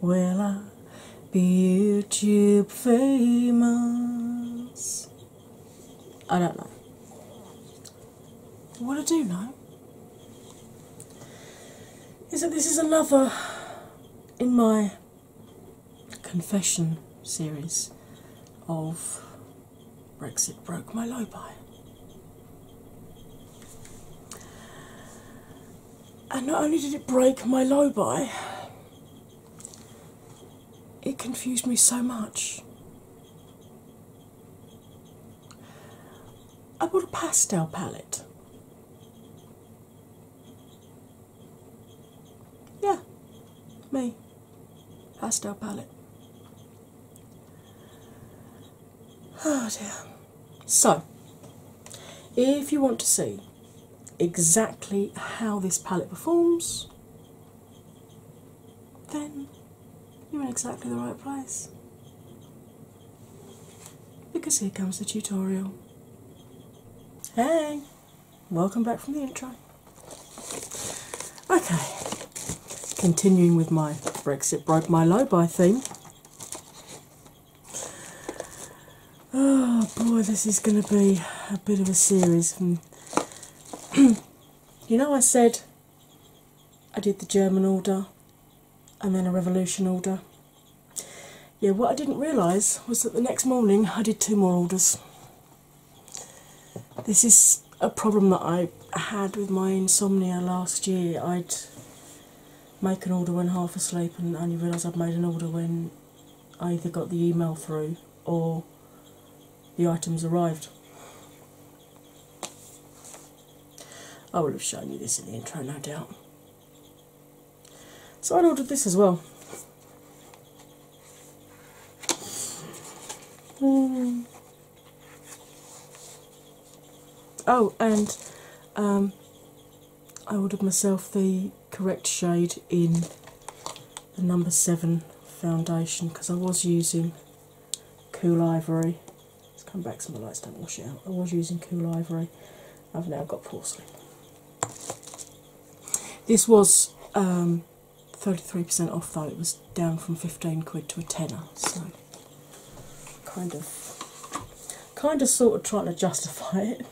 will I be YouTube famous? I don't know. What I do know is that this is another in my confession series of Brexit broke my low by and not only did it break my low buy, it confused me so much. I bought a pastel palette. Yeah, me. Pastel palette. Oh so, if you want to see exactly how this palette performs, then you're in exactly the right place. Because here comes the tutorial. Hey, welcome back from the intro. Okay, continuing with my Brexit broke my low by theme. Oh boy, this is going to be a bit of a series. Hmm. you know, I said I did the German order and then a revolution order. Yeah, what I didn't realise was that the next morning I did two more orders. This is a problem that I had with my insomnia last year. I'd make an order when half asleep and only realise I've made an order when either got the email through or the items arrived. I will have shown you this in the intro, no doubt. So I ordered this as well. Hmm. Oh, and um, I ordered myself the correct shade in the number seven foundation because I was using cool ivory. Let's come back so my lights don't wash it out. I was using cool ivory. I've now got porcelain. This was 33% um, off though, it was down from 15 quid to a tenner, so kind of, kind of sort of trying to justify it.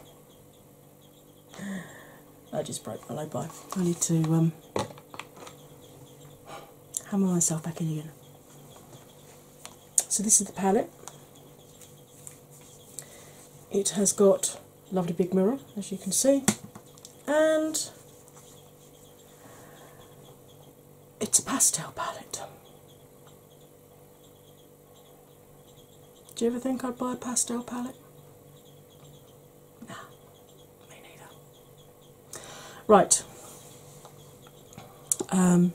I just broke my leg. by. I need to um, hammer myself back in again. So this is the palette. It has got lovely big mirror, as you can see, and it's a pastel palette. Do you ever think I'd buy a pastel palette? Nah, me neither. Right. Um,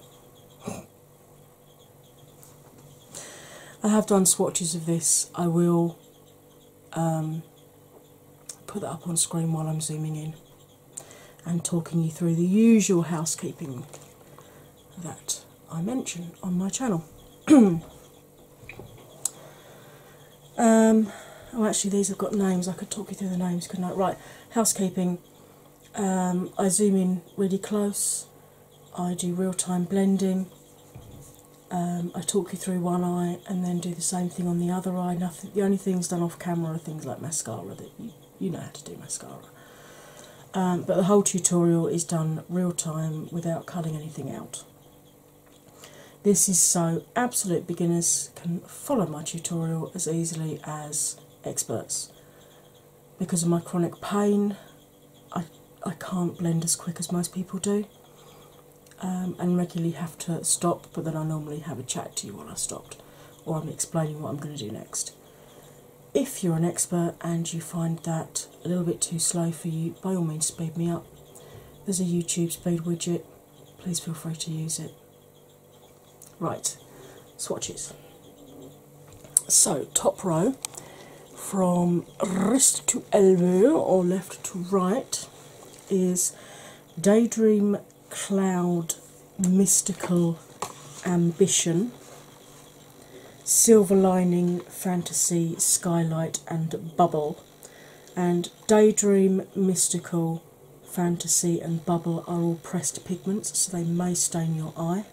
I have done swatches of this. I will um, put that up on screen while I'm zooming in and talking you through the usual housekeeping that I mention on my channel. Um, oh, actually, these have got names. I could talk you through the names, couldn't I? Right, housekeeping. Um, I zoom in really close. I do real time blending. Um, I talk you through one eye and then do the same thing on the other eye. Nothing, the only things done off camera are things like mascara that you you know how to do mascara. Um, but the whole tutorial is done real time without cutting anything out. This is so absolute beginners can follow my tutorial as easily as experts. Because of my chronic pain, I, I can't blend as quick as most people do um, and regularly have to stop, but then I normally have a chat to you when I stopped or I'm explaining what I'm going to do next if you're an expert and you find that a little bit too slow for you, by all means, speed me up. There's a YouTube speed widget, please feel free to use it. Right, swatches. So, top row from wrist to elbow or left to right is Daydream Cloud Mystical Ambition Silver Lining, Fantasy, Skylight, and Bubble. And Daydream, Mystical, Fantasy, and Bubble are all pressed pigments, so they may stain your eye.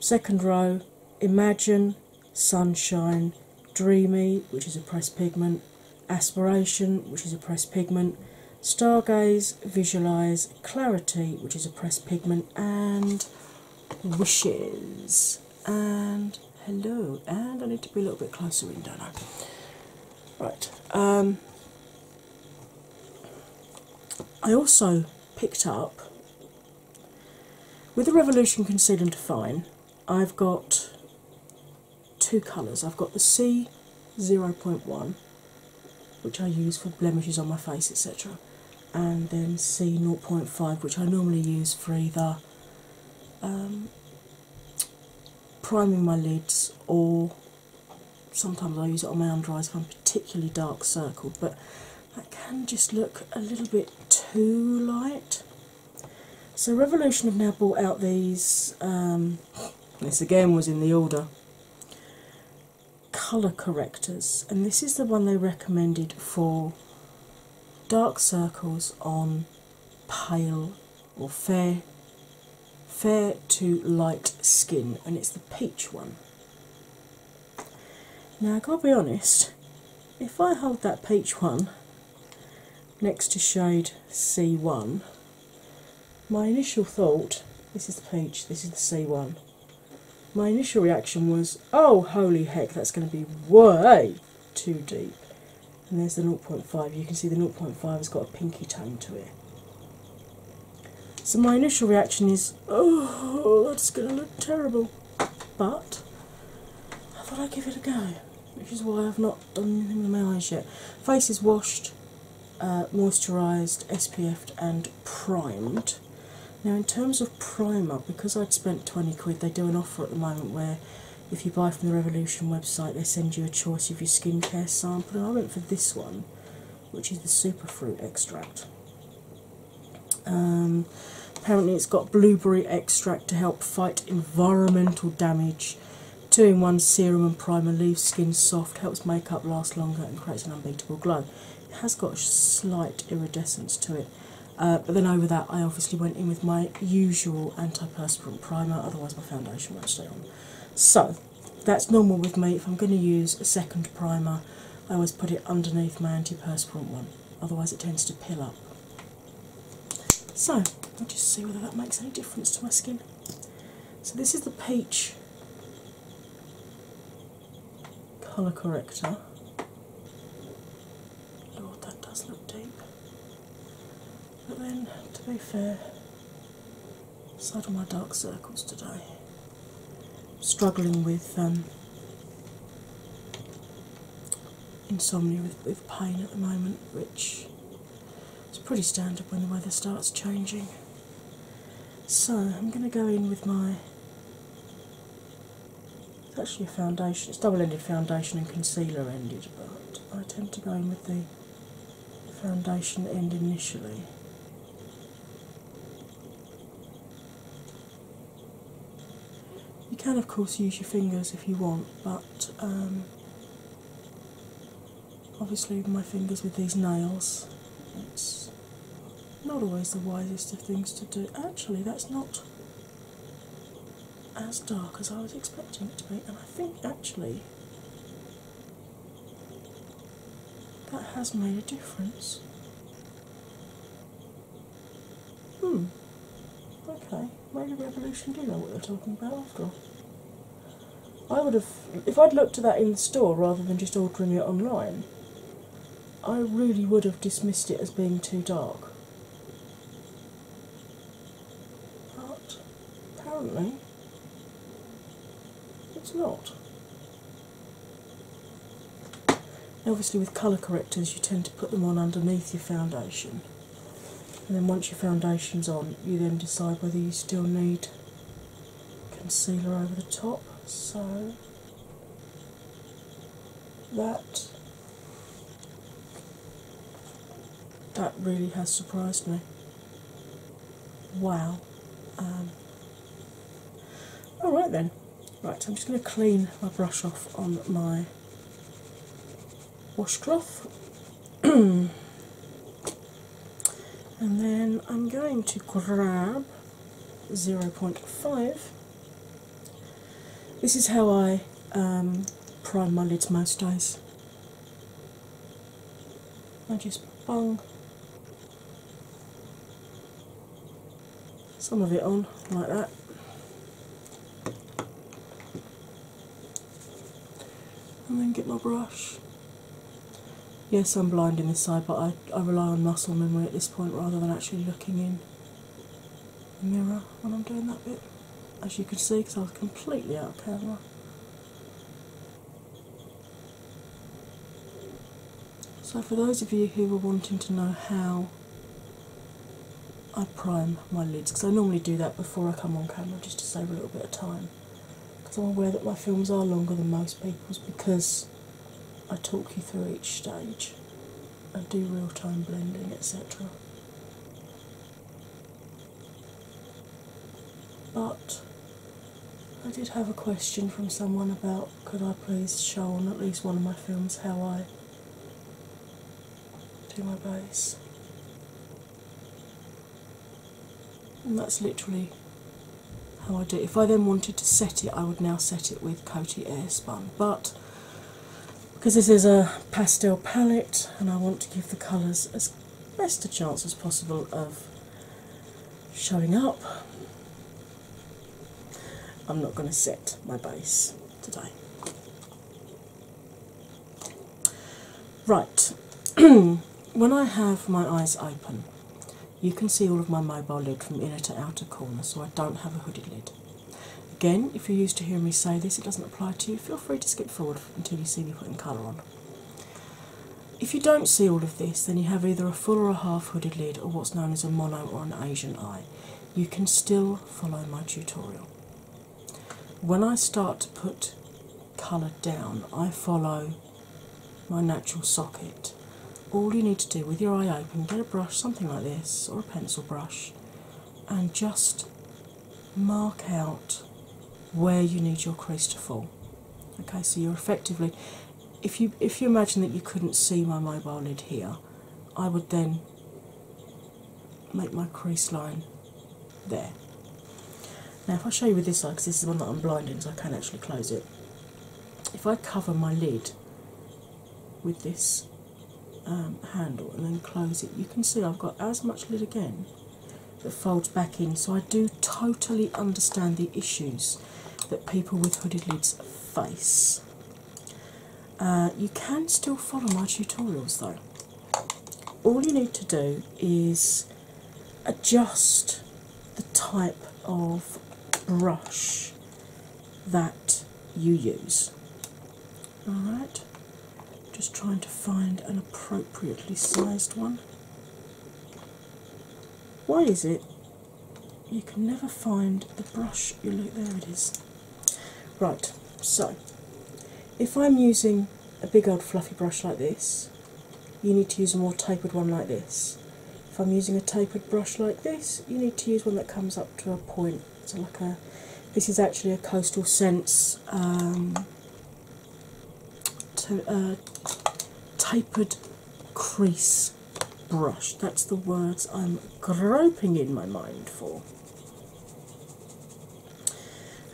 Second row Imagine, Sunshine, Dreamy, which is a pressed pigment, Aspiration, which is a pressed pigment, Stargaze, Visualize, Clarity, which is a pressed pigment, and Wishes. And hello, and I need to be a little bit closer in, don't know. Right. Um, I also picked up with the Revolution Conceal and Define. I've got two colours. I've got the C0.1 which I use for blemishes on my face, etc., and then C0.5, which I normally use for either um, priming my lids or sometimes I use it on my under eyes if I'm particularly dark circled, but that can just look a little bit too light. So, Revolution have now brought out these. Um, this again was in the order color correctors, and this is the one they recommended for dark circles on pale or fair fair to light skin, and it's the peach one. Now, I will be honest, if I hold that peach one next to shade C1, my initial thought this is the peach, this is the C1 my initial reaction was, oh holy heck, that's going to be way too deep. And there's the 0.5. You can see the 0.5 has got a pinky tone to it. So my initial reaction is, oh, that's going to look terrible. But I thought I'd give it a go, which is why I've not done anything with my eyes yet. Face is washed, uh, moisturised, SPF'd, and primed. Now, in terms of primer, because I'd spent 20 quid, they do an offer at the moment where if you buy from the Revolution website, they send you a choice of your skincare sample. And I went for this one, which is the superfruit extract. Um, apparently, it's got blueberry extract to help fight environmental damage. Two in one serum and primer leaves skin soft, helps makeup last longer, and creates an unbeatable glow. It has got a slight iridescence to it, uh, but then over that, I obviously went in with my usual anti-perspirant primer, otherwise, my foundation won't stay on. So that's normal with me. If I'm going to use a second primer, I always put it underneath my anti-perspirant one, otherwise, it tends to peel up. So, I'll just see whether that makes any difference to my skin. So, this is the peach colour corrector. Lord, that does look deep. But then, to be fair, aside of my dark circles today, struggling with um, insomnia with pain at the moment, which is pretty standard when the weather starts changing. So I'm going to go in with my. It's actually a foundation, it's double ended foundation and concealer ended, but I tend to go in with the foundation end initially. You can, of course, use your fingers if you want, but um, obviously, with my fingers with these nails, it's not always the wisest of things to do. Actually, that's not as dark as I was expecting it to be, and I think actually that has made a difference. Hmm. Okay, maybe Revolution do know what they're talking about after all. I would have, if I'd looked at that in store rather than just ordering it online, I really would have dismissed it as being too dark. But apparently it's not. obviously, with colour correctors, you tend to put them on underneath your foundation, and then once your foundation's on, you then decide whether you still need concealer over the top. So that that really has surprised me. Wow. Um, all right then. Right, I'm just going to clean my brush off on my washcloth. and then I'm going to grab 0.5 this is how I um, prime my lids most days. I just bung some of it on like that. And then get my brush. Yes, I'm blind in this side, but I I, rely on muscle memory at this point rather than actually looking in the mirror when I'm doing that bit, as you can see, because I was completely out of camera. So, for those of you who were wanting to know how I prime my lids, because I normally do that before I come on camera just to save a little bit of time, because I'm aware that my films are longer than most people's because I talk you through each stage I do real time blending, etc. But I did have a question from someone about could I please show on at least one of my films how I do my base. And that's literally how I do. If I then wanted to set it, I would now set it with Coty Airspun, but because this is a pastel palette and I want to give the colours as best a chance as possible of showing up, I'm not going to set my base today. Right, when I have my eyes open, you can see all of my mobile lid from inner to outer corner, so I don't have a hooded lid. Again, if you're used to hearing me say this, it doesn't apply to you, feel free to skip forward until you see me putting colour on. If you don't see all of this, then you have either a full or a half hooded lid, or what's known as a mono or an Asian eye. You can still follow my tutorial. When I start to put colour down, I follow my natural socket all you need to do with your eye open, get a brush, something like this, or a pencil brush, and just mark out where you need your crease to fall. Okay, so you're effectively if you if you imagine that you couldn't see my mobile lid here, I would then make my crease line there. Now if I show you with this eye, because this is one that I'm blinding so I can not actually close it, if I cover my lid with this um, handle and then close it. You can see I've got as much lid again that folds back in, so I do totally understand the issues that people with hooded lids face. Uh, you can still follow my tutorials though. All you need to do is adjust the type of brush that you use. Alright, just trying to find an appropriately sized one. Why is it you can never find the brush you look there it is. Right, so if I'm using a big old fluffy brush like this, you need to use a more tapered one like this. If I'm using a tapered brush like this, you need to use one that comes up to a point. So like a, this is actually a coastal sense um, to, uh, tapered crease brush. That's the words I'm groping in my mind for.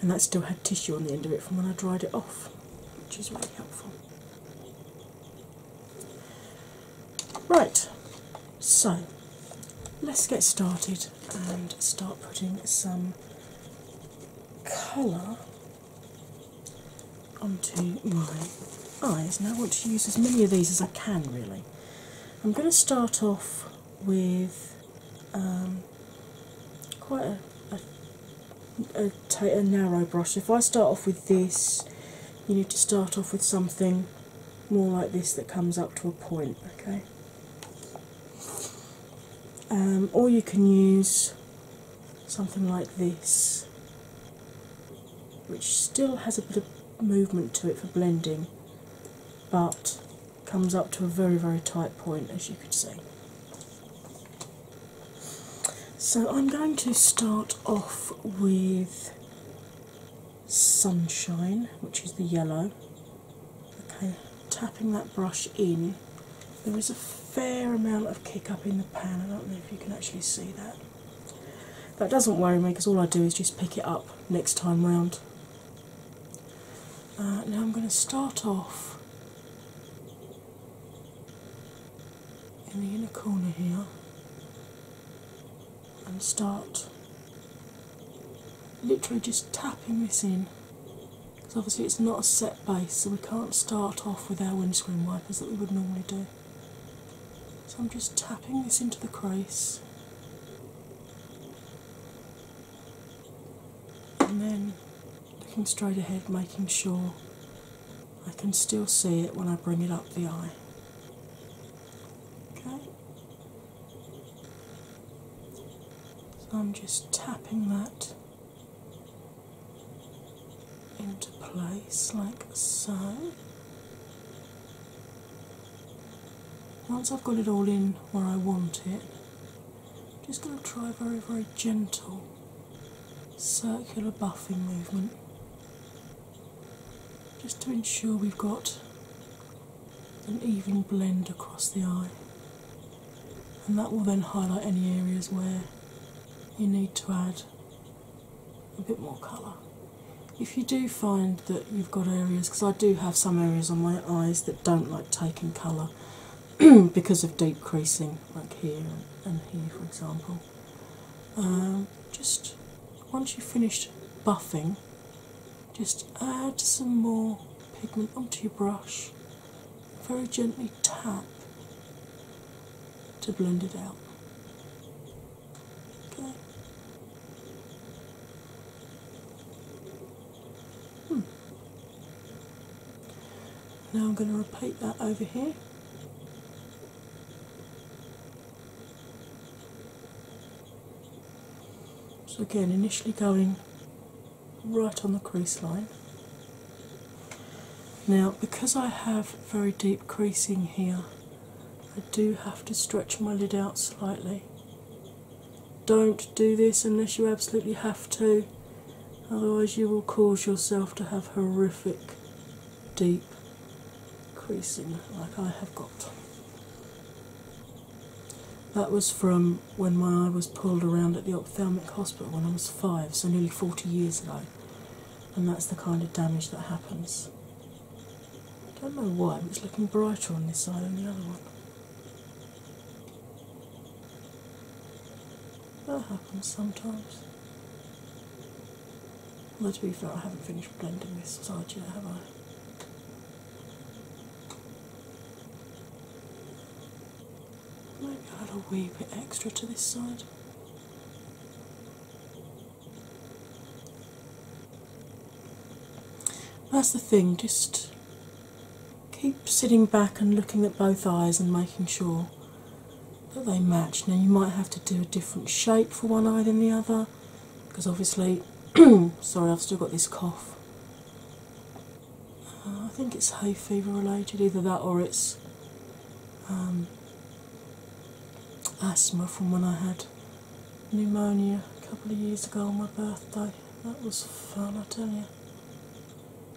And that still had tissue on the end of it from when I dried it off, which is really helpful. Right, so let's get started and start putting some colour onto my eyes. Now, I want to use as many of these as I can, really. I'm going to start off with um, quite a, a, a, a narrow brush. If I start off with this, you need to start off with something more like this that comes up to a point, okay? Um, or you can use something like this, which still has a bit of movement to it for blending, but comes up to a very, very tight point, as you can see. So I'm going to start off with Sunshine, which is the yellow. Okay, tapping that brush in. There is a fair amount of kick up in the pan. I don't know if you can actually see that. That doesn't worry me because all I do is just pick it up next time round. Uh, now I'm going to start off in the inner corner here and start literally just tapping this in because obviously it's not a set base so we can't start off with our windscreen wipers that we would normally do. So I'm just tapping this into the crease and then looking straight ahead making sure I can still see it when I bring it up the eye. Okay. So I'm just tapping that into place like so. Once I've got it all in where I want it, I'm just going to try a very, very gentle circular buffing movement just to ensure we've got an even blend across the eye, and that will then highlight any areas where you need to add a bit more colour. If you do find that you've got areas, because I do have some areas on my eyes that don't like taking colour because of deep creasing, like here and here, for example, um, just once you've finished buffing, just add some more pigment onto your brush, very gently tap to blend it out. Okay. Hmm. Now I'm going to repeat that over here. So, again, initially going right on the crease line. Now, because I have very deep creasing here, I do have to stretch my lid out slightly. Don't do this unless you absolutely have to, otherwise, you will cause yourself to have horrific deep creasing like I have got. That was from when my eye was pulled around at the ophthalmic hospital when I was five, so nearly 40 years ago, and that's the kind of damage that happens. I don't know why, but it's looking brighter on this eye than the other one. That happens sometimes. Although to be fair, I haven't finished blending this side yet, have I? Maybe I'll add a wee bit extra to this side. That's the thing, just keep sitting back and looking at both eyes and making sure that they match. Now, you might have to do a different shape for one eye than the other, because obviously, sorry, I've still got this cough. Uh, I think it's hay fever related, either that or it's um, asthma from when I had pneumonia a couple of years ago on my birthday. That was fun, I tell you.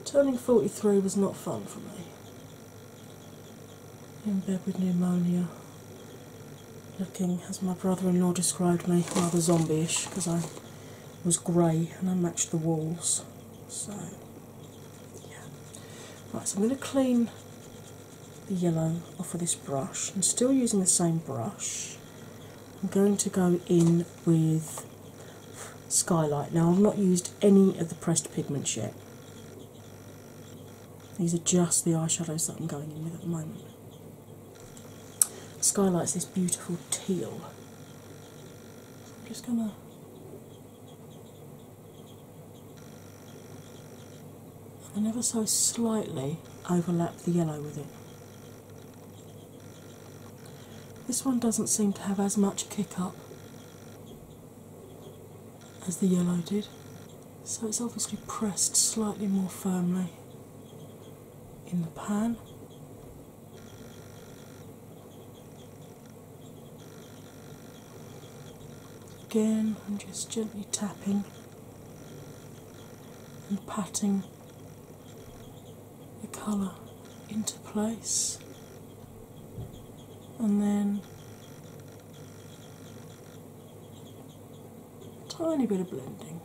Turning 43 was not fun for me. In bed with pneumonia, looking, as my brother in law described me, rather zombie ish because I was grey and I matched the walls. So, yeah. Right, so I'm going to clean the yellow off of this brush. I'm still using the same brush. I'm going to go in with Skylight. Now, I've not used any of the pressed pigments yet. These are just the eyeshadows that I'm going in with at the moment. Skylight's this beautiful teal. I'm just gonna and ever so slightly overlap the yellow with it. This one doesn't seem to have as much kick up as the yellow did. So it's obviously pressed slightly more firmly in the pan. Again, I'm just gently tapping and patting the colour into place, and then tiny bit of blending.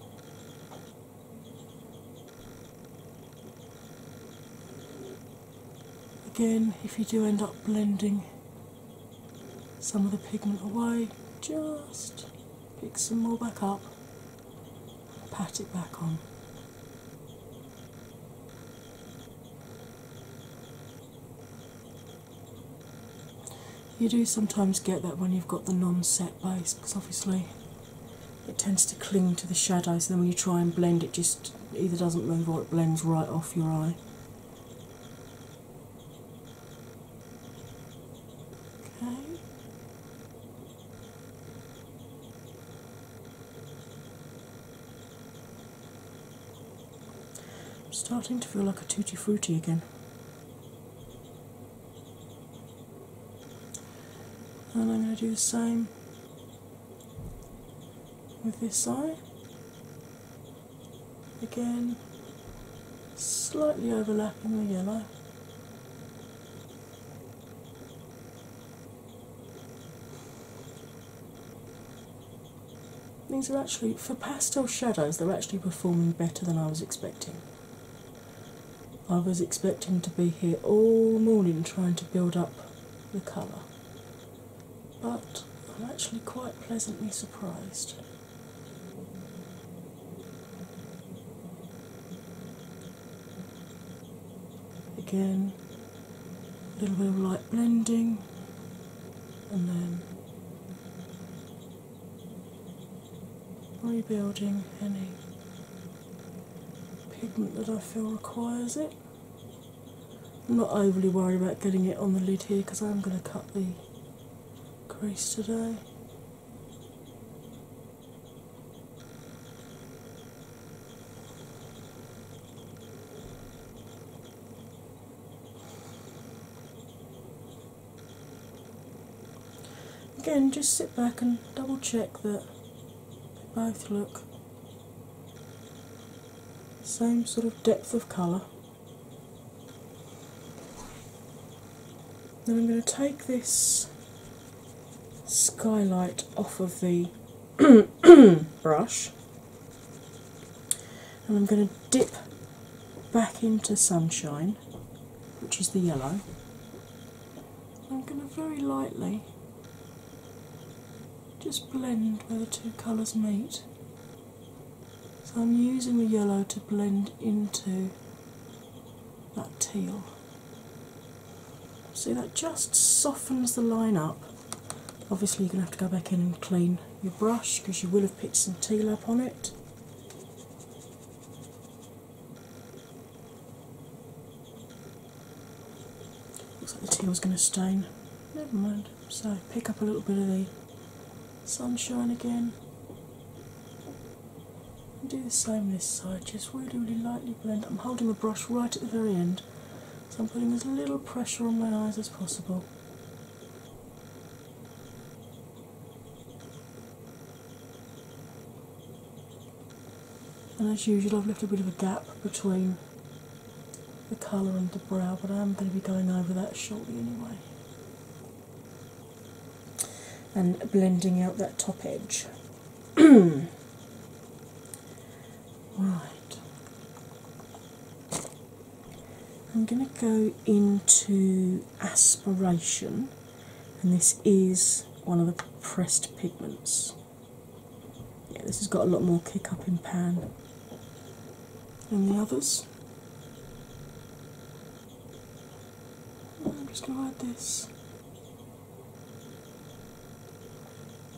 Again, if you do end up blending some of the pigment away, just pick some more back up, pat it back on. You do sometimes get that when you've got the non set base because obviously it tends to cling to the shadows, and then when you try and blend, it just either doesn't move or it blends right off your eye. Okay. I'm starting to feel like a tutti frutti again and I'm going to do the same with this eye. Again, slightly overlapping the yellow. These are actually, for pastel shadows, they're actually performing better than I was expecting. I was expecting to be here all morning trying to build up the colour, but I'm actually quite pleasantly surprised. Again, a little bit of light blending, and then rebuilding any pigment that I feel requires it. I'm not overly worried about getting it on the lid here because I'm going to cut the crease today. Again, just sit back and double check that they both look same sort of depth of colour. Then I'm going to take this skylight off of the brush and I'm going to dip back into sunshine, which is the yellow. I'm going to very lightly just blend where the two colours meet. So I'm using the yellow to blend into that teal. See, that just softens the line up. Obviously, you're going to have to go back in and clean your brush because you will have picked some teal up on it. Looks like the tea was going to stain. Never mind. So pick up a little bit of the sunshine again. do the same this side, just really, really lightly blend. I'm holding the brush right at the very end, so I'm putting as little pressure on my eyes as possible. And as usual, I've left a bit of a gap between the colour and the brow, but I am going to be going over that shortly anyway. And blending out that top edge. right. I'm going to go into aspiration and this is one of the pressed pigments. Yeah, this has got a lot more kick up in pan than the others. I'm just going to add this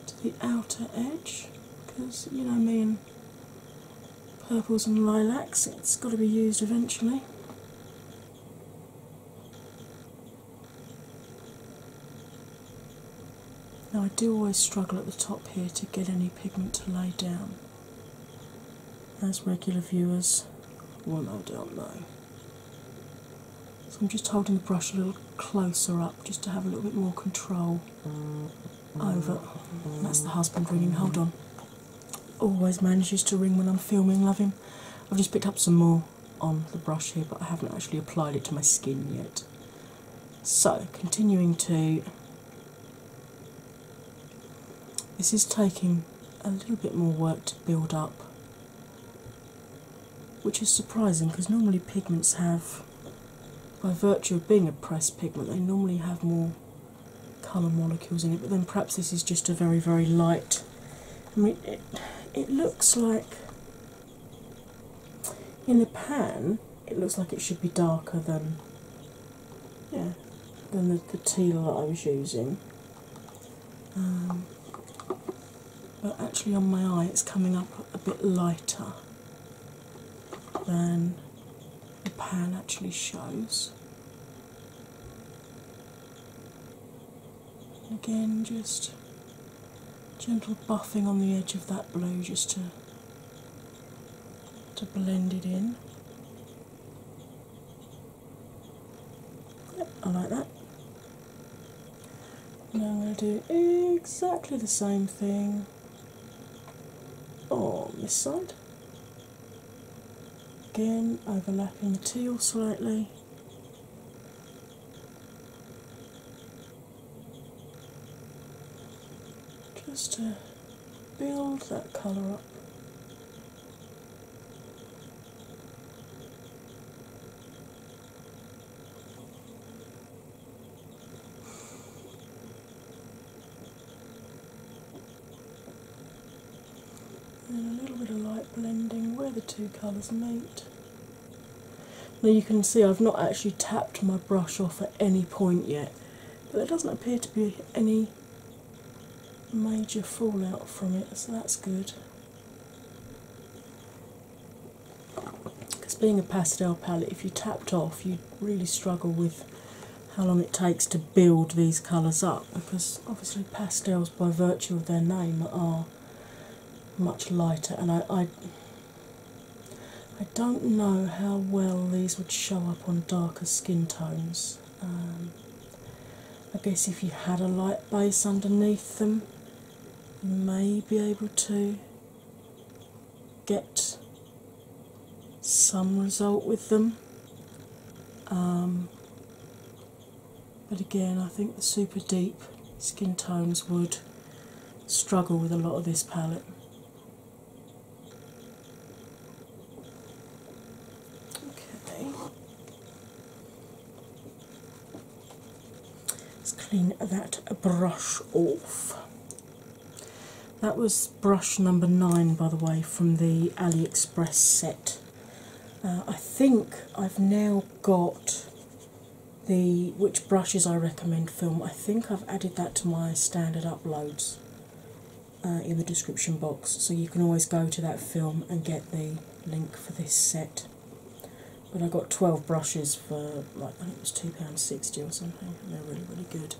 to the outer edge because you know I mean purples and lilacs. It's got to be used eventually. Now, I do always struggle at the top here to get any pigment to lay down. As regular viewers I don't know. So, I'm just holding the brush a little closer up just to have a little bit more control over. That's the husband ringing, hold on always manages to ring when I'm filming, love him. I've just picked up some more on the brush here, but I haven't actually applied it to my skin yet. So, continuing to. This is taking a little bit more work to build up, which is surprising because normally pigments have, by virtue of being a pressed pigment, they normally have more colour molecules in it, but then perhaps this is just a very, very light. I mean, it, it looks like in the pan, it looks like it should be darker than, yeah, than the, teal that I was using. Um, but actually, on my eye, it's coming up a bit lighter than the pan actually shows. Again, just gentle buffing on the edge of that blow, just to to blend it in. I like that. Now I'm going to do exactly the same thing on this side. Again, overlapping the teal slightly. Just to build that colour up and a little bit of light blending where the two colours meet. Now you can see I've not actually tapped my brush off at any point yet, but there doesn't appear to be any major fallout from it, so that's good. Because being a pastel palette, if you tapped off, you really struggle with how long it takes to build these colours up because obviously pastels, by virtue of their name, are much lighter, and I, I, don't know how well these would show up on darker skin tones. Um, I guess if you had a light base underneath them, you may be able to get some result with them. Um, but again, I think the super deep skin tones would struggle with a lot of this palette. Okay. Let's clean that brush off. That was brush number nine, by the way, from the AliExpress set. Uh, I think I've now got the which brushes I recommend film. I think I've added that to my standard uploads uh, in the description box, so you can always go to that film and get the link for this set. But I got 12 brushes for like I think it was £2.60 or something, they're really, really good.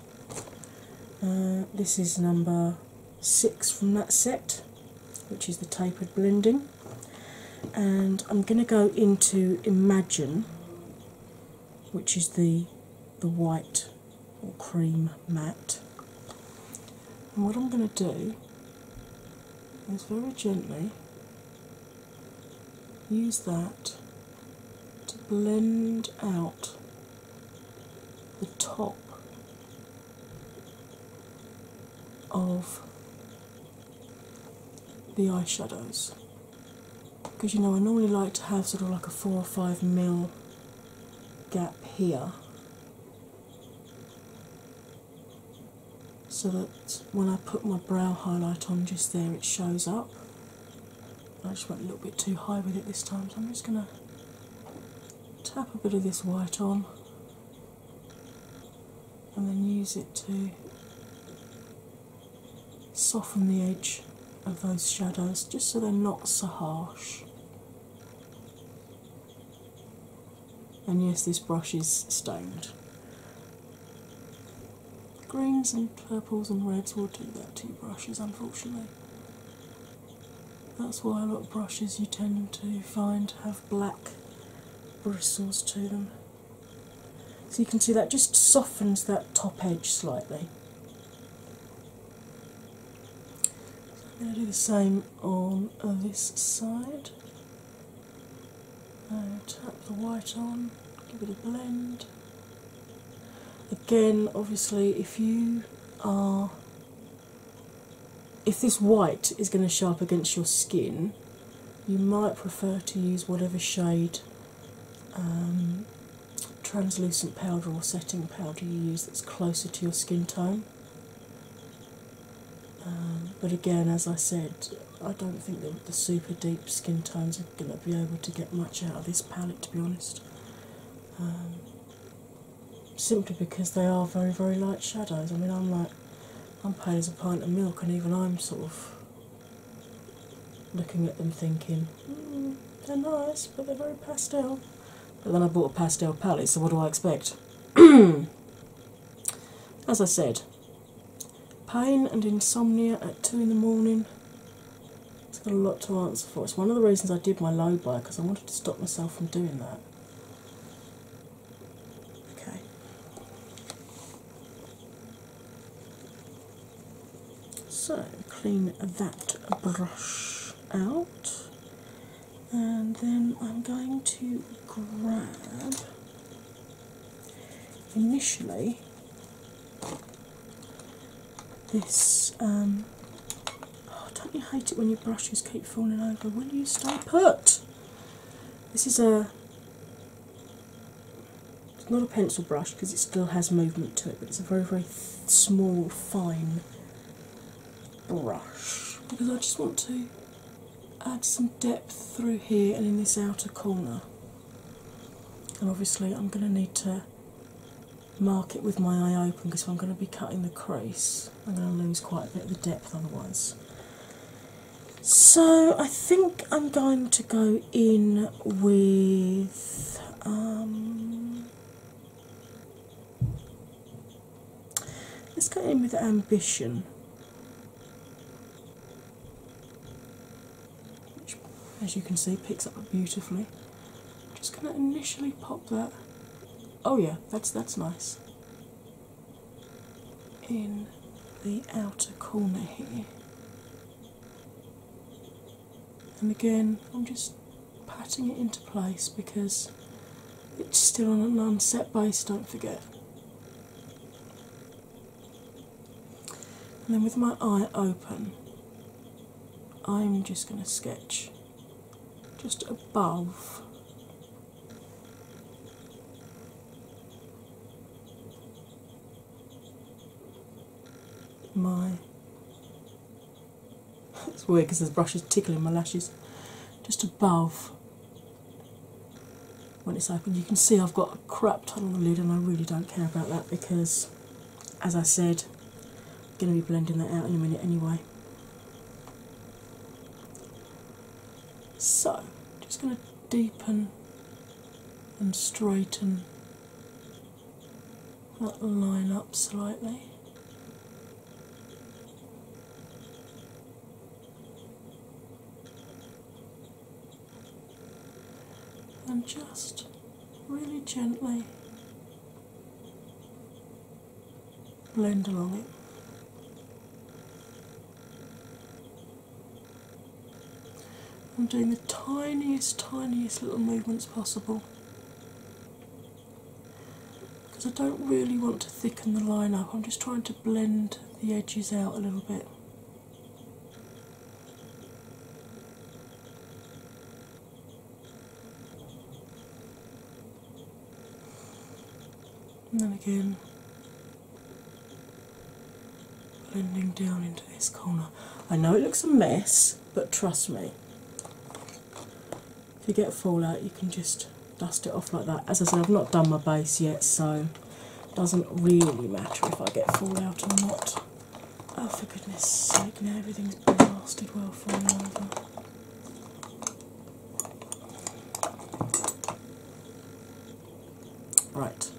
Uh, this is number six from that set, which is the tapered blending. And I'm going to go into Imagine, which is the the white or cream matte. And what I'm going to do is very gently use that to blend out the top of the eyeshadows because you know I normally like to have sort of like a four or five mil gap here so that when I put my brow highlight on just there it shows up. I just went a little bit too high with it this time so I'm just going to tap a bit of this white on and then use it to soften the edge of those shadows just so they're not so harsh. And yes, this brush is stained. Greens and purples and reds will do that to brushes, unfortunately. That's why a lot of brushes you tend to find have black bristles to them. So you can see that just softens that top edge slightly. So I'm going to do the same on this side. And tap the white on, give it a blend. Again, obviously, if you are if this white is going to show up against your skin, you might prefer to use whatever shade um, translucent powder or setting powder you use that's closer to your skin tone. Um, but again, as I said, I don't think that the super deep skin tones are going to be able to get much out of this palette to be honest. Um, simply because they are very, very light shadows. I mean, I'm like, I'm paying as a pint of milk, and even I'm sort of looking at them thinking, hmm, they're nice, but they're very pastel. But then I bought a pastel palette, so what do I expect? As I said, pain and insomnia at two in the morning. It's got a lot to answer for. It's one of the reasons I did my low buy because I wanted to stop myself from doing that. Okay. So clean that brush out, and then I'm going to grab initially this um, Oh, don't you hate it when your brushes keep falling over? Will you stop? put? This is a it's not a pencil brush because it still has movement to it, but it's a very, very small, fine brush because I just want to add some depth through here and in this outer corner. And obviously, I'm going to need to mark it with my eye open because I'm going to be cutting the crease. I'm going to lose quite a bit of the depth otherwise. So I think I'm going to go in with. Um, let's go in with ambition. Which, as you can see, picks up beautifully. just going to initially pop that. Oh yeah, that's that's nice in the outer corner here. And again, I'm just patting it into place because it's still on an unset base, don't forget. And then with my eye open, I'm just going to sketch just above my. It's weird because this brush is tickling my lashes just above when it's open. You can see I've got a crap ton on the lid, and I really don't care about that because, as I said, I'm going to be blending that out in a minute anyway. So, just going to deepen and straighten that line up slightly. And just really gently blend along it. I'm doing the tiniest, tiniest little movements possible because I don't really want to thicken the line up, I'm just trying to blend the edges out a little bit and then again blending down into this corner. I know it looks a mess, but trust me, if you get fallout, you can just dust it off like that. As I said, I've not done my base yet, so it doesn't really matter if I get fallout or not. Oh, for goodness sake, now everything's blasted well falling over. Right,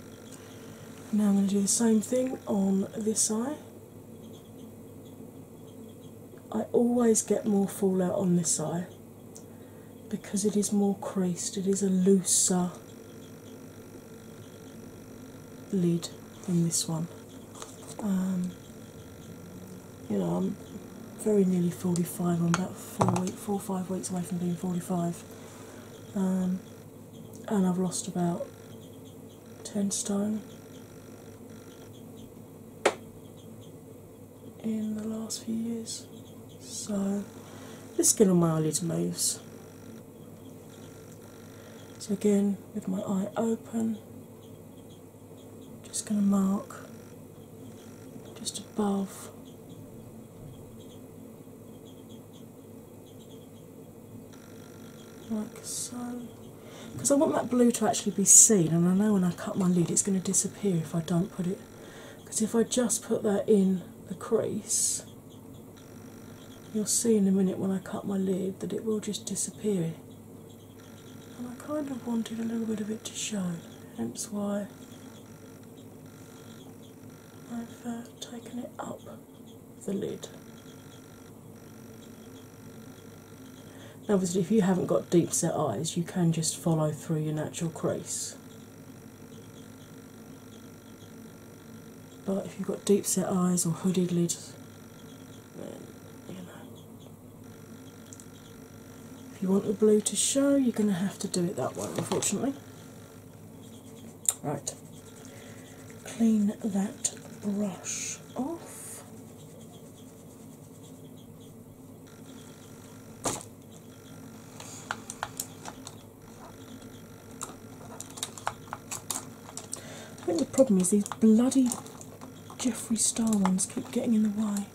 now I'm going to do the same thing on this eye. I always get more fallout on this eye because it is more creased, it is a looser lid than this one. Um, you know, I'm very nearly 45. I'm about four, week, four or five weeks away from being 45, um, and I've lost about 10 stone in the last few years. So let's get on my eyelid moves. So again, with my eye open, just going to mark just above like so because I want that blue to actually be seen and I know when I cut my lid it's going to disappear if I don't put it because if I just put that in the crease you'll see in a minute when I cut my lid that it will just disappear and I kind of wanted a little bit of it to show hence why I've uh, taken it up the lid. obviously, if you haven't got deep set eyes, you can just follow through your natural crease. But if you've got deep set eyes or hooded lids, then you know if you want the blue to show, you're going to have to do it that way, unfortunately. Right, clean that brush off. I think the problem is these bloody Jeffree Star ones keep getting in the way.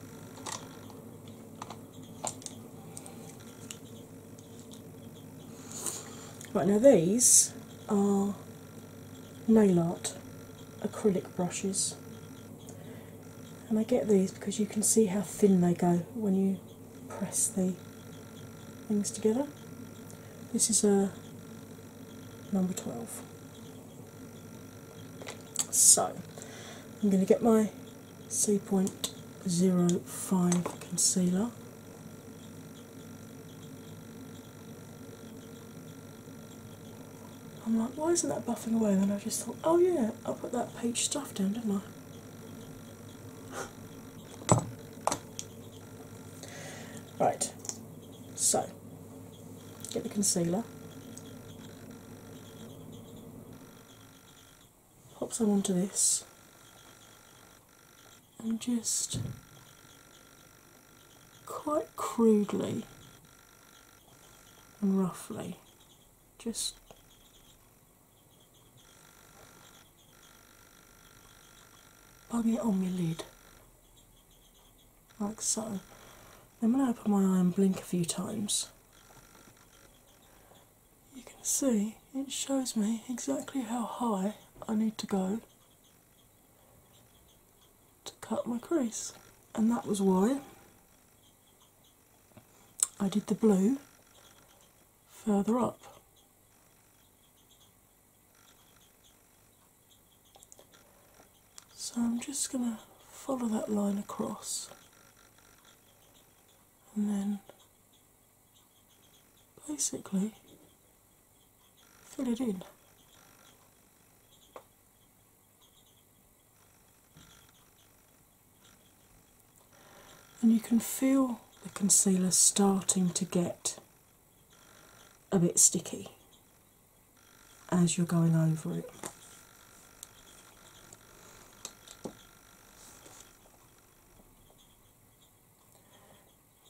Right now, these are nail art acrylic brushes, and I get these because you can see how thin they go when you press the things together. This is a number 12. So, I'm going to get my C.05 concealer. I'm like, why isn't that buffing away? And then I just thought, oh yeah, I put that peach stuff down, didn't I? right, so get the concealer. Pops some onto this and just quite crudely and roughly just bung it on my lid like so. I'm gonna open my eye and blink a few times, you can see it shows me exactly how high I need to go to cut my crease, and that was why I did the blue further up. So I'm just going to follow that line across and then basically fill it in. And you can feel the concealer starting to get a bit sticky as you're going over it.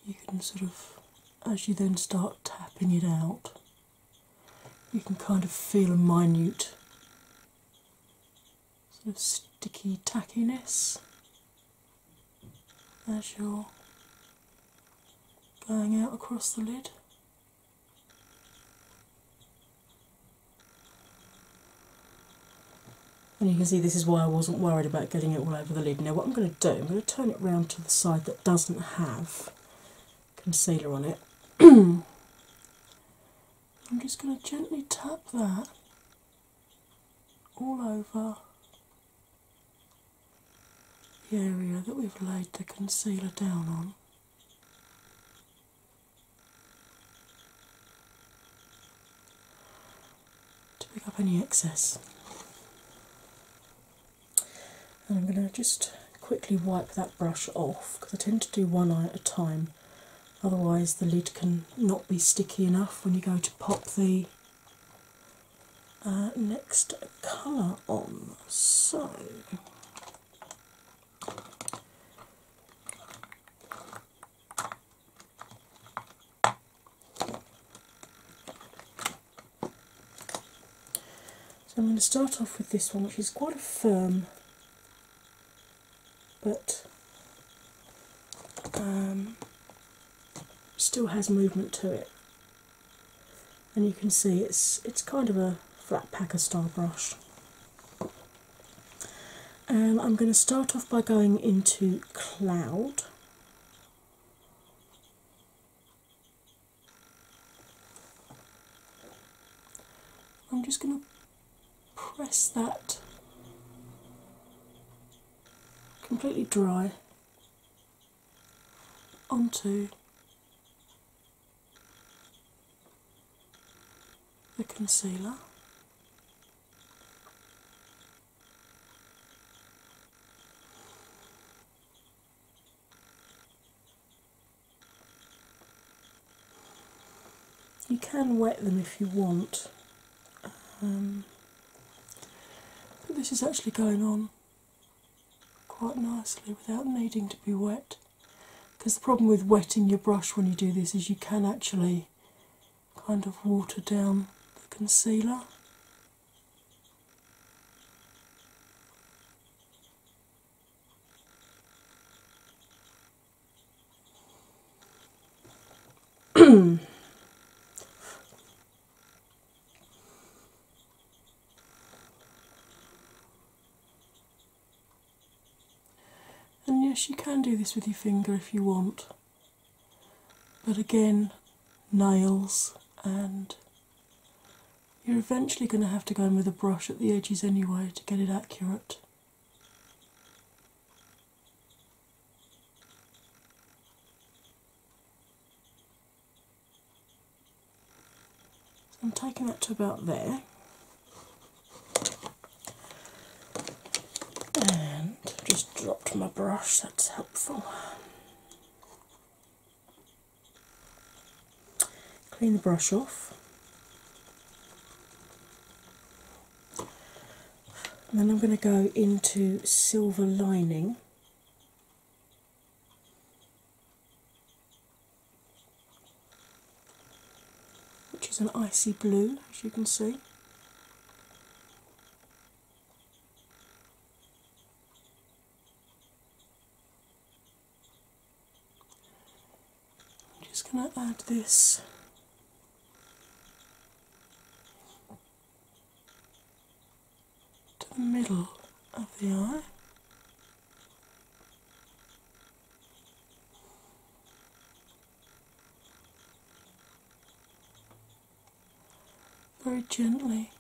You can sort of, as you then start tapping it out, you can kind of feel a minute sort of sticky tackiness as you're going out across the lid. And you can see this is why I wasn't worried about getting it all over the lid. Now, what I'm going to do, I'm going to turn it round to the side that doesn't have concealer on it. I'm just going to gently tap that all over the area that we've laid the concealer down on to pick up any excess. And I'm going to just quickly wipe that brush off because I tend to do one eye at a time, otherwise, the lid can not be sticky enough when you go to pop the uh, next colour on. So so I'm going to start off with this one, which is quite a firm but um, still has movement to it. And you can see it's it's kind of a flat packer style brush and um, I'm going to start off by going into Cloud. I'm just going to press that completely dry onto the concealer. You can wet them if you want, um, but this is actually going on quite nicely without needing to be wet. Because the problem with wetting your brush when you do this is you can actually kind of water down the concealer. And yes, you can do this with your finger if you want, but again, nails and you're eventually going to have to go in with a brush at the edges anyway to get it accurate. I'm taking that to about there and i just dropped my brush, that's helpful. Clean the brush off. then I'm going to go into silver lining which is an icy blue, as you can see. I'm just going to add this. To the middle of the eye very gently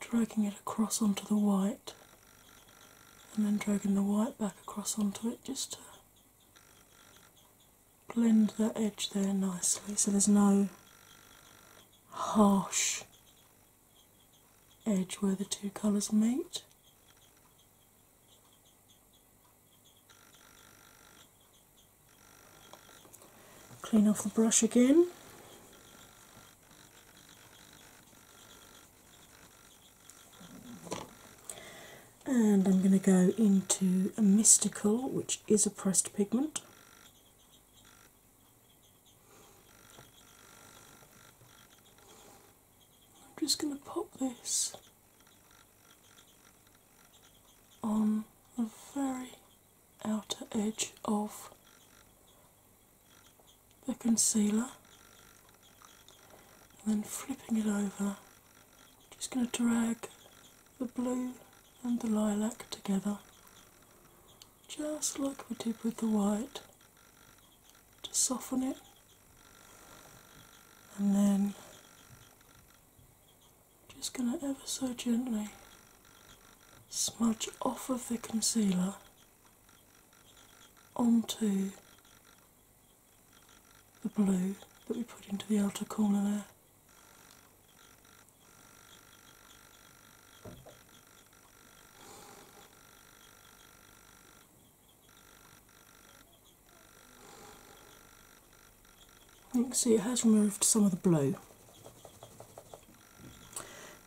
dragging it across onto the white and then dragging the white back across onto it just to blend that edge there nicely so there's no harsh edge where the two colours meet. Clean off the brush again. And I'm going to go into a mystical, which is a pressed pigment. I'm just going to pop this on the very outer edge of the concealer and then flipping it over. I'm just going to drag the blue and the lilac together just like we did with the white to soften it, and then just going to ever so gently smudge off of the concealer onto the blue that we put into the outer corner there. You can see it has removed some of the blue,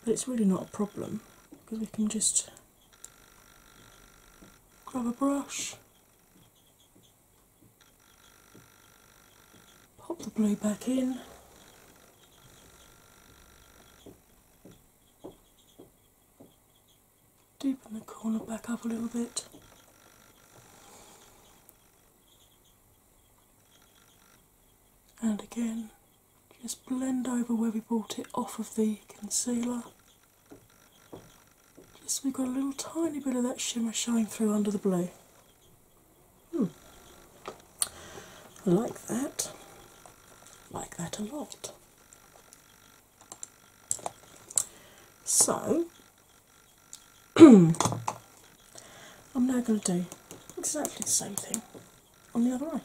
but it's really not a problem because we can just grab a brush, pop the blue back in deepen the corner back up a little bit. And again, just blend over where we brought it off of the concealer. Just we've got a little tiny bit of that shimmer showing through under the blue. Hmm. I like that. like that a lot. So I'm now going to do exactly the same thing on the other eye.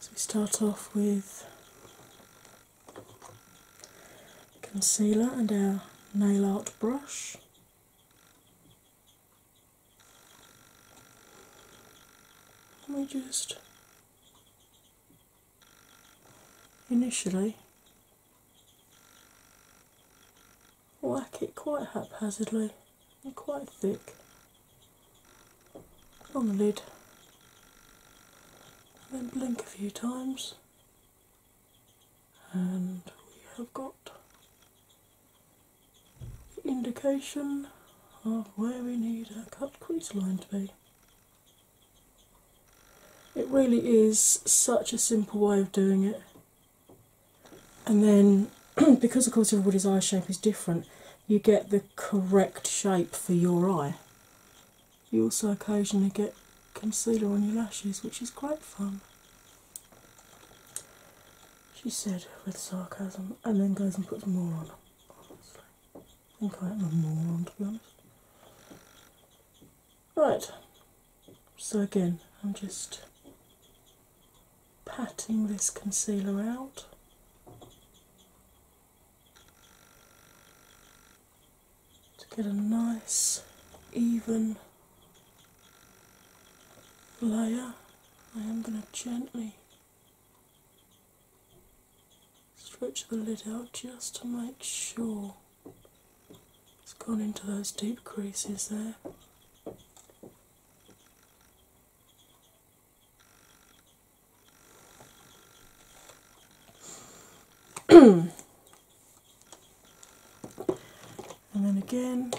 So we start off with concealer and our nail art brush. Let me just initially whack it quite haphazardly and quite thick on the lid, and then blink a few times, and we have got indication of where we need our cut crease line to be. It really is such a simple way of doing it, and then because, of course, everybody's eye shape is different, you get the correct shape for your eye. You also occasionally get concealer on your lashes, which is great fun. She said with sarcasm, and then goes and puts more on. I think I am a moron to be honest. Right, so again, I'm just patting this concealer out. To get a nice, even layer, I am going to gently Stretch the lid out just to make sure it's gone into those deep creases there. and then again,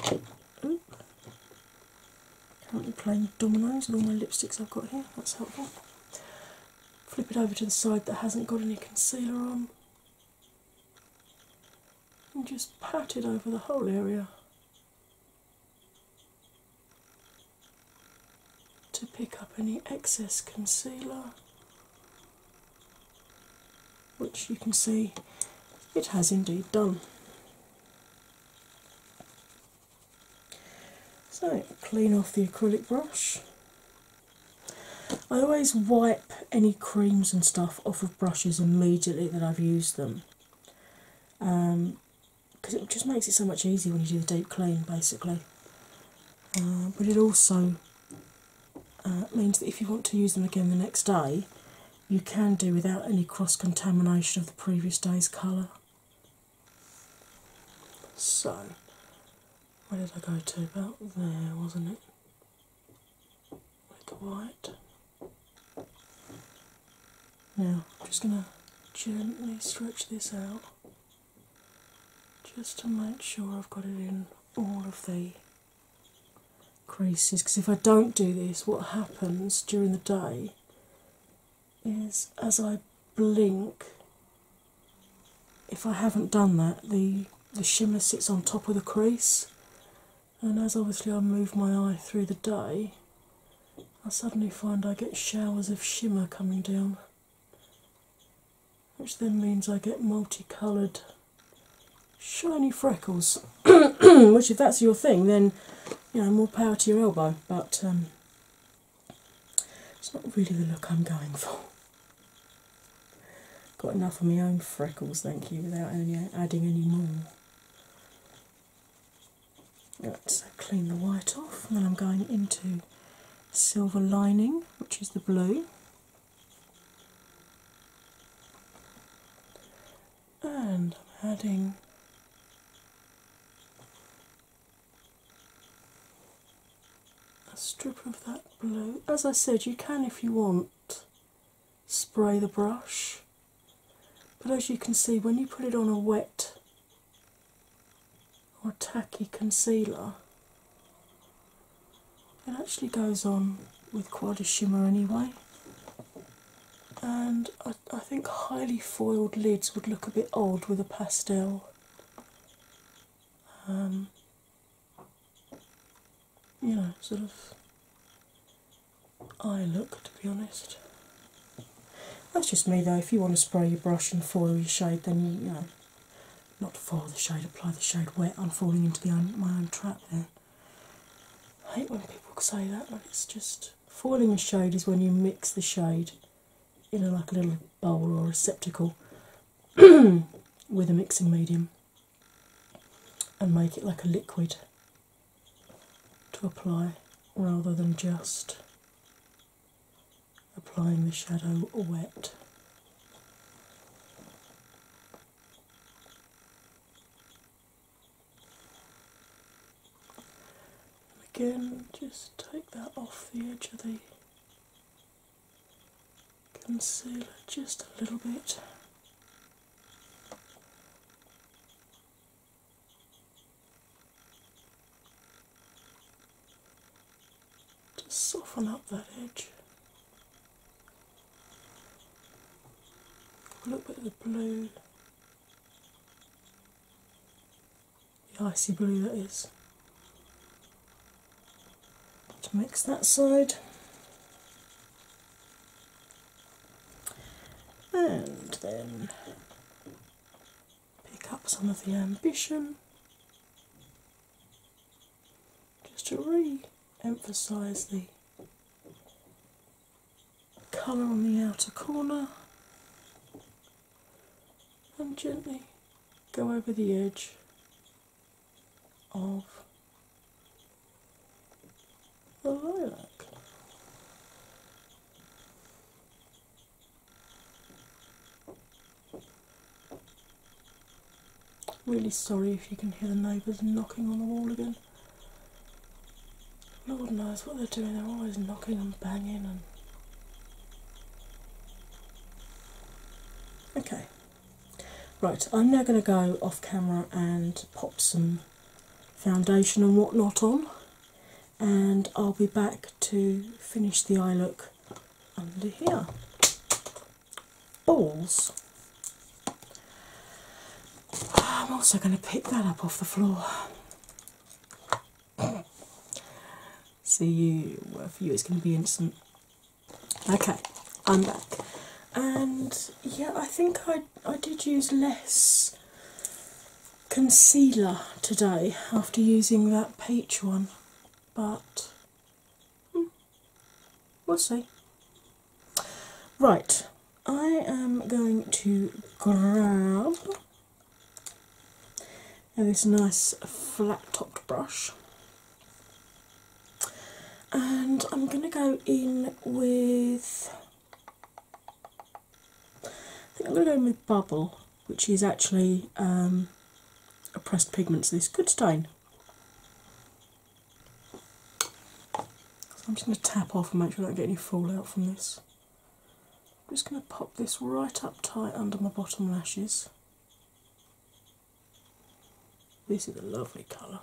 Currently playing with dominoes with all my lipsticks I've got here, that's helpful. Flip it over to the side that hasn't got any concealer on and just pat it over the whole area to pick up any excess concealer, which you can see it has indeed done. So, clean off the acrylic brush. I always wipe any creams and stuff off of brushes immediately that I've used them because um, it just makes it so much easier when you do the deep clean basically. Uh, but it also uh, means that if you want to use them again the next day, you can do without any cross contamination of the previous day's colour. So, where did I go to? About there, wasn't it? With the white. Now, I'm just going to gently stretch this out just to make sure I've got it in all of the creases because if I don't do this, what happens during the day is as I blink. If I haven't done that, the the shimmer sits on top of the crease, and as obviously I move my eye through the day, I suddenly find I get showers of shimmer coming down, which then means I get multicoloured shiny freckles. which, if that's your thing, then you know more power to your elbow. But um, it's not really the look I'm going for. Got enough of my own freckles, thank you, without adding any more. Let's clean the white off, and I'm going into silver lining, which is the blue. And I'm adding a strip of that blue. As I said, you can, if you want, spray the brush, but as you can see, when you put it on a wet or tacky concealer, it actually goes on with quite a shimmer anyway and I, think highly foiled lids would look a bit old with a pastel. Um, you sort of eye look to be honest. That's just me though. If you want to spray your brush and foil your shade, then you, know, not foil the shade, apply the shade wet. I'm falling into the my own trap there. I hate when people say that, like it's just. Foiling a shade is when you mix the shade in a like a little bowl or receptacle with a mixing medium and make it like a liquid to apply rather than just applying the shadow wet. And again, just take that off the edge of the concealer just a little bit. to soften up that edge. A little bit of the blue the icy blue that is. To mix that side. And then pick up some of the ambition just to re emphasize the colour on the outer corner and gently go over the edge of the lilac. Really sorry if you can hear the neighbours knocking on the wall again. Lord knows what they're doing, they're always knocking and banging okay. Right, I'm now going to go off camera and pop some foundation and whatnot on, and I'll be back to finish the eye look under here. Balls. Ah, I'm also going to pick that up off the floor so you, for you, it's going to be instant. Okay, I'm back, and yeah, I think I I did use less concealer today after using that peach one, but hmm, we'll see. Right, I am going to grab and this nice flat topped brush. And I'm going to go in with. I think I'm going to go in with Bubble, which is actually um, a pressed pigment, so this good stain. So I'm just going to tap off and make sure I don't get any fallout from this. I'm just going to pop this right up tight under my bottom lashes. This is a lovely colour.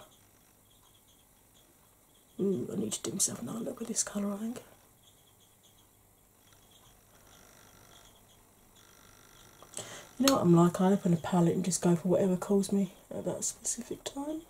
Ooh, I need to do myself another look with this colour, I think. You know what I'm like, I open a palette and just go for whatever calls me at that specific time.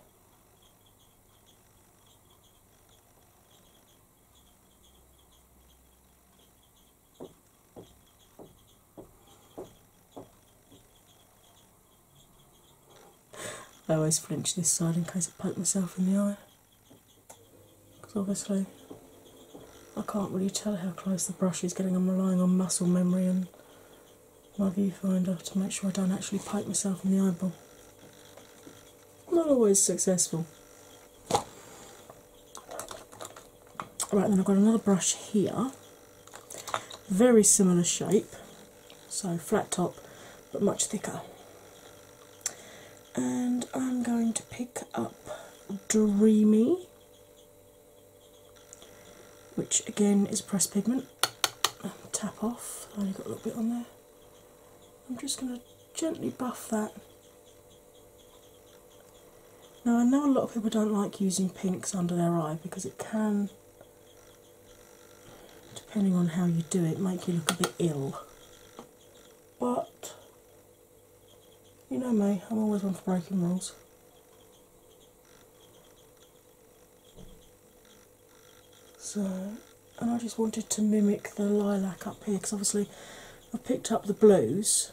I always flinch this side in case I poke myself in the eye because obviously I can't really tell how close the brush is getting. I'm relying on muscle memory and my viewfinder to make sure I don't actually poke myself in the eyeball not always successful. Right, then I've got another brush here, very similar shape, so flat top but much thicker. And I'm going to pick up Dreamy, which again is pressed pigment. Tap off, i only got a little bit on there. I'm just going to gently buff that. Now, I know a lot of people don't like using pinks under their eye because it can, depending on how you do it, make you look a bit ill. But you know me, I'm always one for breaking rules. So and I just wanted to mimic the lilac up here because obviously I picked up the blues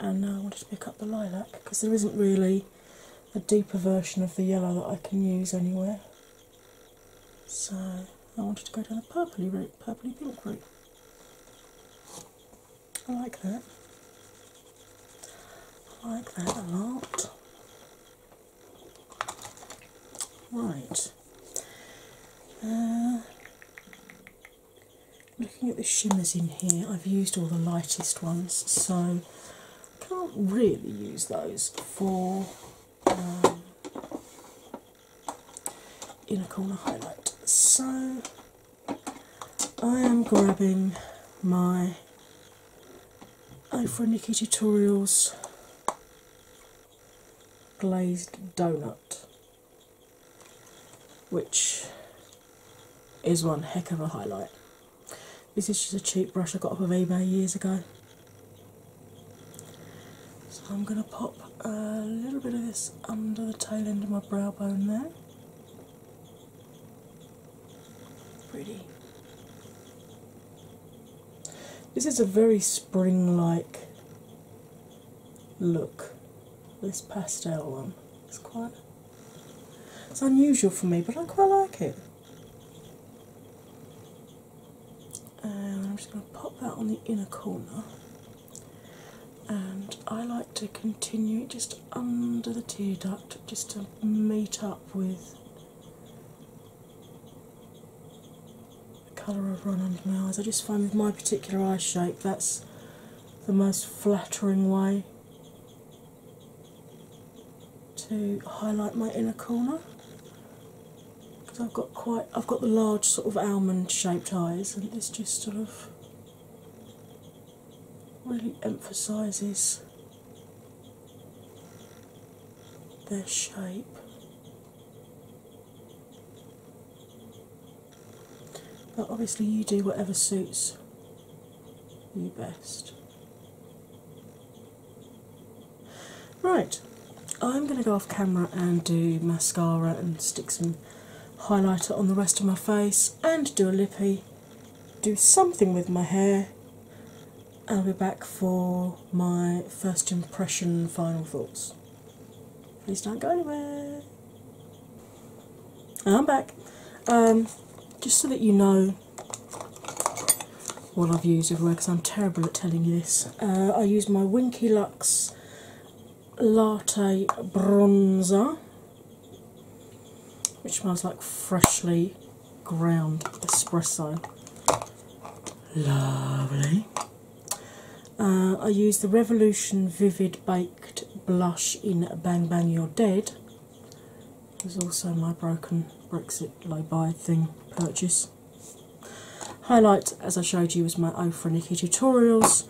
and now I wanted to pick up the lilac because there isn't really a deeper version of the yellow that I can use anywhere. So I wanted to go down the purpley route, purpley pink route. I like that. I like that a lot. Right. Uh, looking at the shimmers in here, I've used all the lightest ones, so I can't really use those for um, inner corner highlight. So I am grabbing my Ofra Nikki Tutorials glazed donut which is one heck of a highlight. This is just a cheap brush I got off of eBay years ago. So I'm going to pop a little bit of this under the tail end of my brow bone there. Pretty. This is a very spring like look, this pastel one. It's quite it's unusual for me, but I quite like it. And I'm just going to pop that on the inner corner. And I like to continue it just under the tear duct just to meet up with the colour I've run under my eyes. I just find with my particular eye shape that's the most flattering way to highlight my inner corner because I've got quite I've got the large sort of almond shaped eyes and this just sort of really emphasises their shape. But obviously, you do whatever suits you best. Right, I'm going to go off camera and do mascara and stick some highlighter on the rest of my face and do a lippy, do something with my hair. I'll be back for my first impression final thoughts. Please don't go anywhere. I'm back. Um, just so that you know what I've used everywhere, because I'm terrible at telling you this. Uh, I use my Winky Lux Latte Bronzer, which smells like freshly ground espresso. Lovely. Uh, I use the Revolution Vivid Baked Blush in Bang Bang You're Dead. There's also my broken Brexit low buy thing purchase. Highlight, as I showed you, was my O tutorials.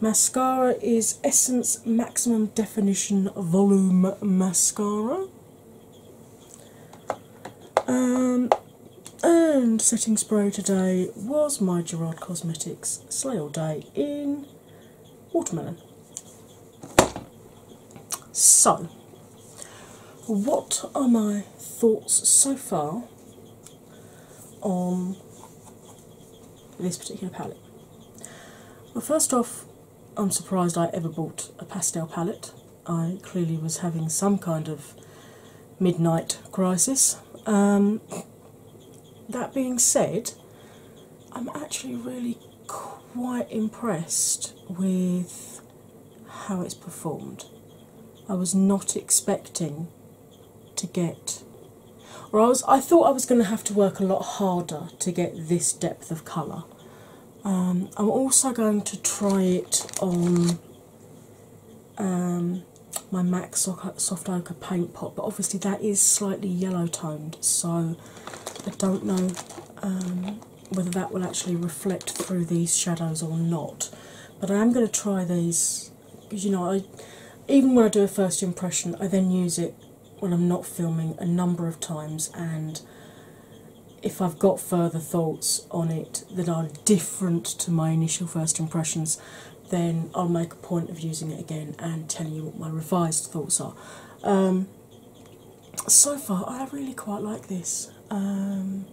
Mascara is Essence Maximum Definition Volume Mascara. Um, and setting spray today was my Gerard Cosmetics Slay All Day in Watermelon. So, what are my thoughts so far on this particular palette? Well, first off, I'm surprised I ever bought a pastel palette. I clearly was having some kind of midnight crisis. Um, that being said, I'm actually really quite impressed with how it's performed. I was not expecting to get or I was I thought I was going to have to work a lot harder to get this depth of colour. Um, I'm also going to try it on um, my MAC Soft Ochre Paint Pot, but obviously that is slightly yellow toned, so I don't know um, whether that will actually reflect through these shadows or not. But I am going to try these because you know, even when I do a first impression, I then use it when I'm not filming a number of times and if I've got further thoughts on it that are different to my initial first impressions, then I'll make a point of using it again and telling you what my revised thoughts are. Um, so far, I really quite like this. Um,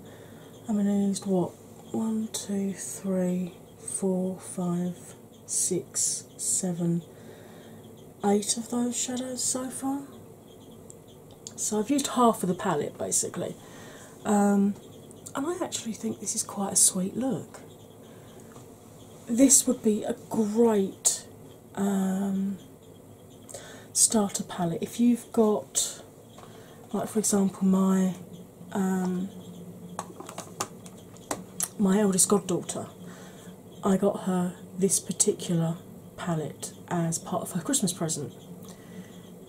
I mean, I used what? One, two, three, four, five, six, seven, eight of those shadows so far. So I've used half of the palette basically. Um, and I actually think this is quite a sweet look this would be a great um, starter palette if you've got, like for example, my um, my eldest goddaughter. I got her this particular palette as part of her Christmas present.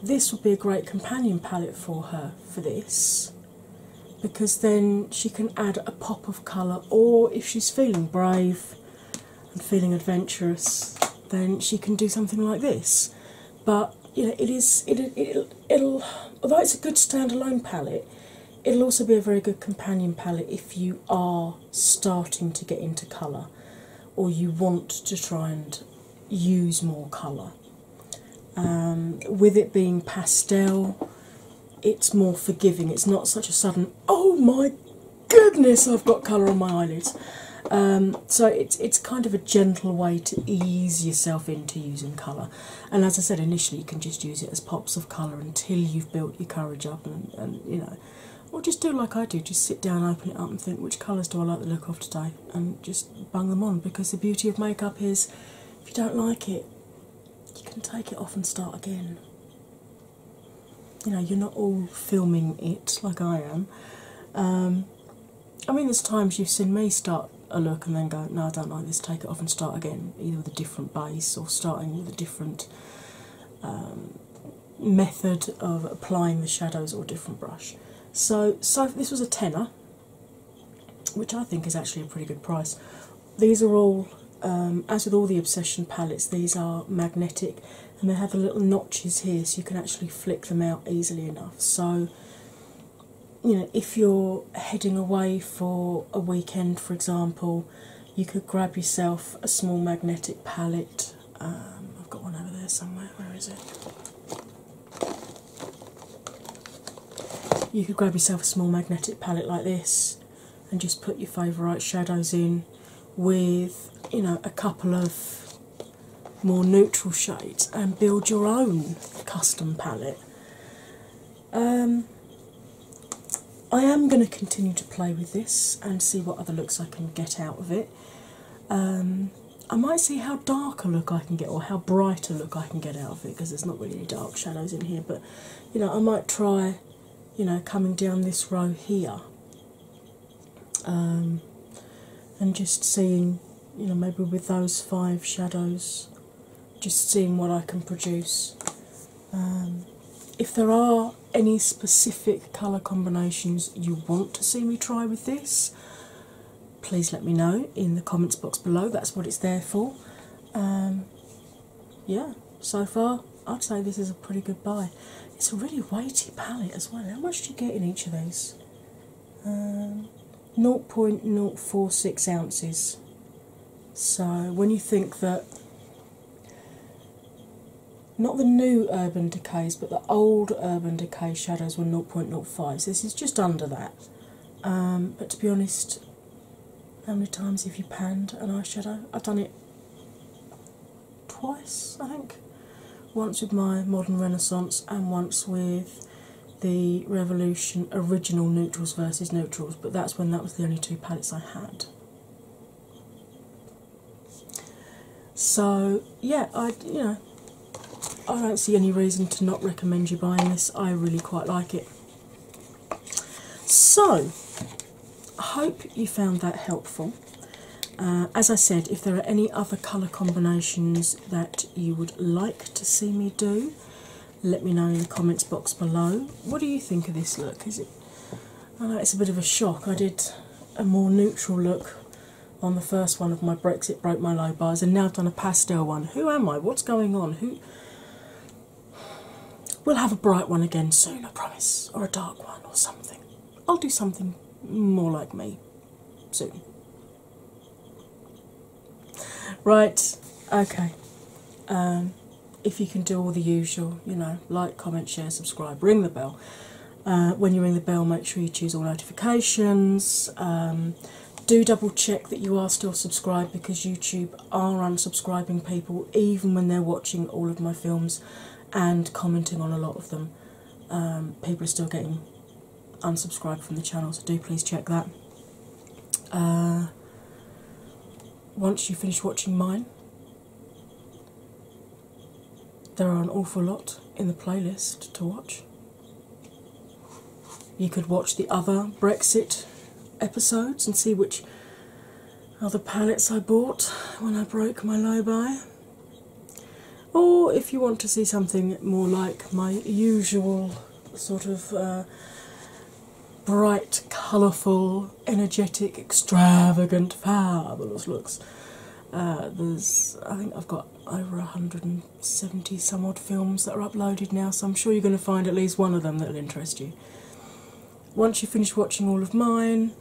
This would be a great companion palette for her for this because then she can add a pop of colour, or if she's feeling brave and feeling adventurous, then she can do something like this. But you know, it is it, it will although it's a good standalone palette, it'll also be a very good companion palette if you are starting to get into colour or you want to try and use more colour. Um, with it being pastel, it's more forgiving. It's not such a sudden, oh my goodness, I've got colour on my eyelids. Um, so it's it's kind of a gentle way to ease yourself into using colour. And as I said initially, you can just use it as pops of colour until you've built your courage up and, and you know. Or just do like I do, just sit down, open it up, and think which colours do I like the look of today, and just bang them on because the beauty of makeup is if you don't like it, you can take it off and start again. You know, you're not all filming it like I am. Um, I mean, there's times you've seen me start a look and then go, No, I don't like this, take it off and start again, either with a different base or starting with a different um, method of applying the shadows or different brush. So, so this was a tenor which I think is actually a pretty good price. These are all, um, as with all the Obsession palettes, these are magnetic and they have little notches here so you can actually flick them out easily enough. So, you know, if you're heading away for a weekend, for example, you could grab yourself a small magnetic palette. Um, I've got one over there somewhere, where is it? You could grab yourself a small magnetic palette like this and just put your favourite shadows in with you know a couple of more neutral shades and build your own custom palette. Um, I am going to continue to play with this and see what other looks I can get out of it. Um, I might see how dark a look I can get or how bright a look I can get out because there's not really dark shadows in here, but you know, I might try, you know, coming down this row here um, and just seeing, you know, maybe with those five shadows, just seeing what I can produce. Um, if there are any specific colour combinations you want to see me try with this, please let me know in the comments box below. That's what it's there for. Um, yeah, so far I'd say this is a pretty good buy. It's a really weighty palette as well. How much do you get in each of these? Um, 0.046 ounces. So when you think that not the new Urban Decays, but the old Urban Decay shadows were 0.05, so this is just under that. Um, but to be honest, how many times have you panned an eyeshadow? I've done it twice, I think. Once with my Modern Renaissance and once with the Revolution original neutrals versus neutrals, but that's when that was the only two palettes I had. So yeah, I you know I don't see any reason to not recommend you buying this. I really quite like it. So, I hope you found that helpful. Uh, as I said, if there are any other colour combinations that you would like to see me do, let me know in the comments box below. What do you think of this look? Is it? I know it's a bit of a shock. I did a more neutral look on the first one of my Brexit broke my low bars, and now I've done a pastel one. Who am I? What's going on? Who We'll have a bright one again soon, I promise, or a dark one or something. I'll do something more like me soon. Right, okay. Um, if you can do all the usual, you know, like, comment, share, subscribe, ring the bell. Uh, when you ring the bell, make sure you choose all notifications. Um, do double check that you are still subscribed because YouTube are unsubscribing people even when they're watching all of my films and commenting on a lot of them. Um, people are still getting unsubscribed from the channel, so do please check that. Uh, once you finish watching mine, there are an awful lot in the playlist to watch. You could watch the other Brexit episodes and see which other palettes I bought when I broke my low buy. Or if you want to see something more like my usual sort of uh, bright, colourful, energetic, extravagant, fabulous looks. Uh, there's, I think I've got over 170 some films that are uploaded now, so I'm sure you're going to find at least one of them that'll interest you. Once you finish watching all of mine,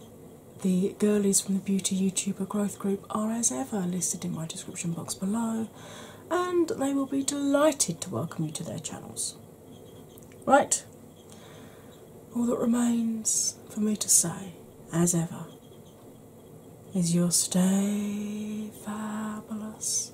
the girlies from the Beauty YouTuber Growth Group are, as ever, listed in my description box below, and they will be delighted to welcome you to their channels. Right, all that remains for me to say, as ever, is your stay fabulous.